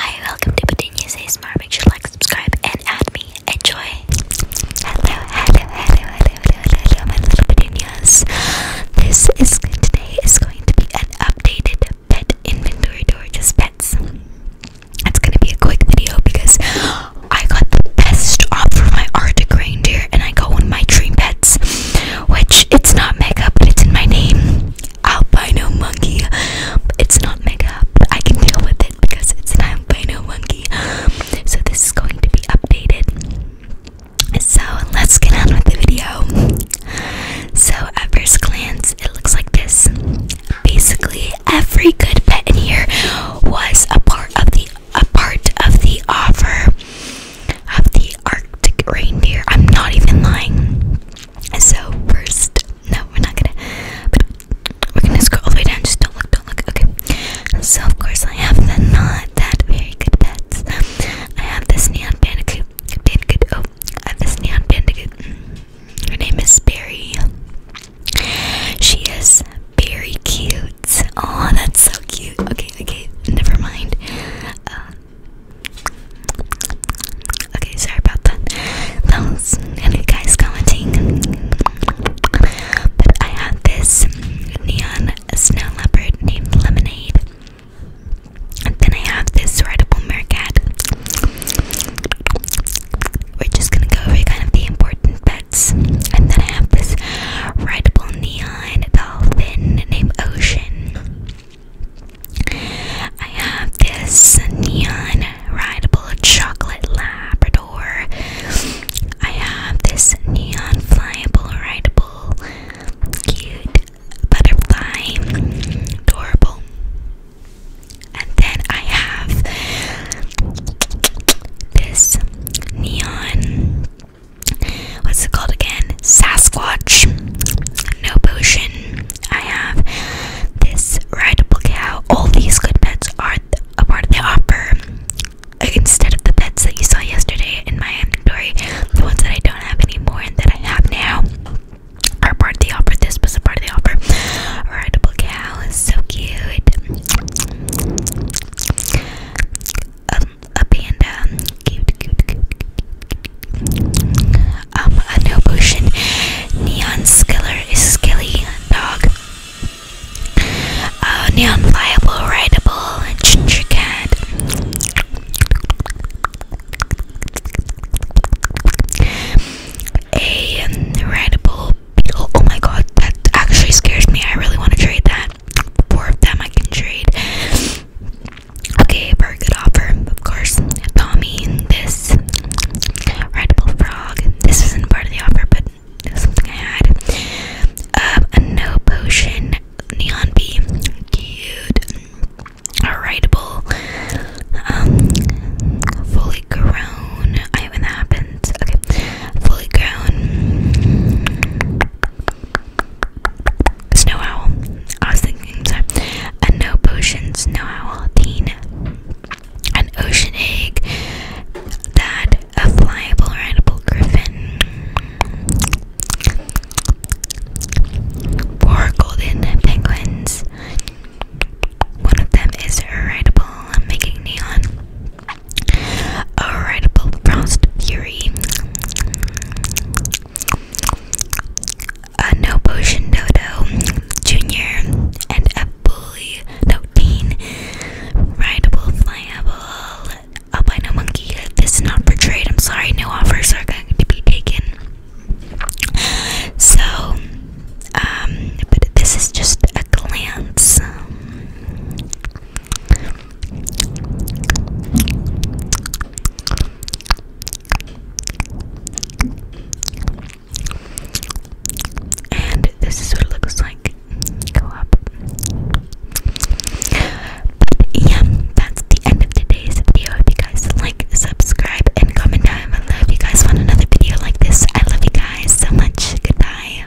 Hi, welcome to Petunia's ASMR. Make sure to like, subscribe, and add me. Enjoy. Hello, hello, hello, hello, hello, hello, my little Petunias. This is today is going to be an updated pet inventory tour, just pets. It's gonna be a quick video because I got the best offer for my Arctic reindeer, and I got one of my dream pets, which it's not mega, but it's in my name albino monkey. It's not mega, I can deal with it because it's an albino monkey. So this is going to be updated. So let's get on with the video. So at first glance, it looks like this. Basically, every good pet in here was a part of the a part of the offer of the Arctic reindeer. I'm not even lying. So first, no, we're not gonna. But we're gonna scroll all the way down. Just don't look, don't look. Okay. So of course I have the not that very good pets. I have this neon bandicoot. Bandicoot. Oh, I have this neon bandicoot. Mm. Her name is Berry. She is very cute. Oh, that's so cute. Okay, okay, never mind. Uh, Okay, sorry about that. Those any guys commenting. I have this neon snow leopard named Lemonade. then I have this rideable meerkat. We're just gonna go over kind of the important pets. And then I have this rideable neon dolphin named Ocean. I have this neon rideable chocolate Labrador. I have this neon flyable rideable cute butterfly, adorable. And then I have this neon what's it called again? Sasquatch. No potion. I have this rideable cow. All these good pets are a part of the offer. Instead of the pets that you saw yesterday in my inventory, the ones that I don't have anymore and that I have now are part of the offer. This was a part of the offer. Rideable cow is so cute. Um, a panda, cute, cute, cute, um, a no potion, neon skiller is skilly dog, uh, neon pliable, rideable, ginger cat, a rideable beetle. Oh my god, that actually scares me. I really want to trade that. Four of them I can trade. Okay, very good offer. Of course, Tommy, this Rideable Frog. This isn't part of the offer, but something I had. Um, a no potion neon bee. Cute. rideable. Um, fully grown. I haven't happened. Okay. Fully grown. Snow Owl. I was thinking, sorry. A no potion Snow Owl teen. An ocean egg. That a flyable, rideable griffin. Four golden penguins. One of them is rideable, making neon. Alright, Bronzed Fury. A No Potion Dodo Junior and a Bully No Teen. Rideable Flyable Albino Monkey. This is not for trade. I'm sorry, no offers are going to be taken. So, um, this is just a glance. And this is what it looks like. Go up. yeah, that's the end of today's video. If you guys like, subscribe, and comment down below if you guys want another video like this. I love you guys so much. Goodbye.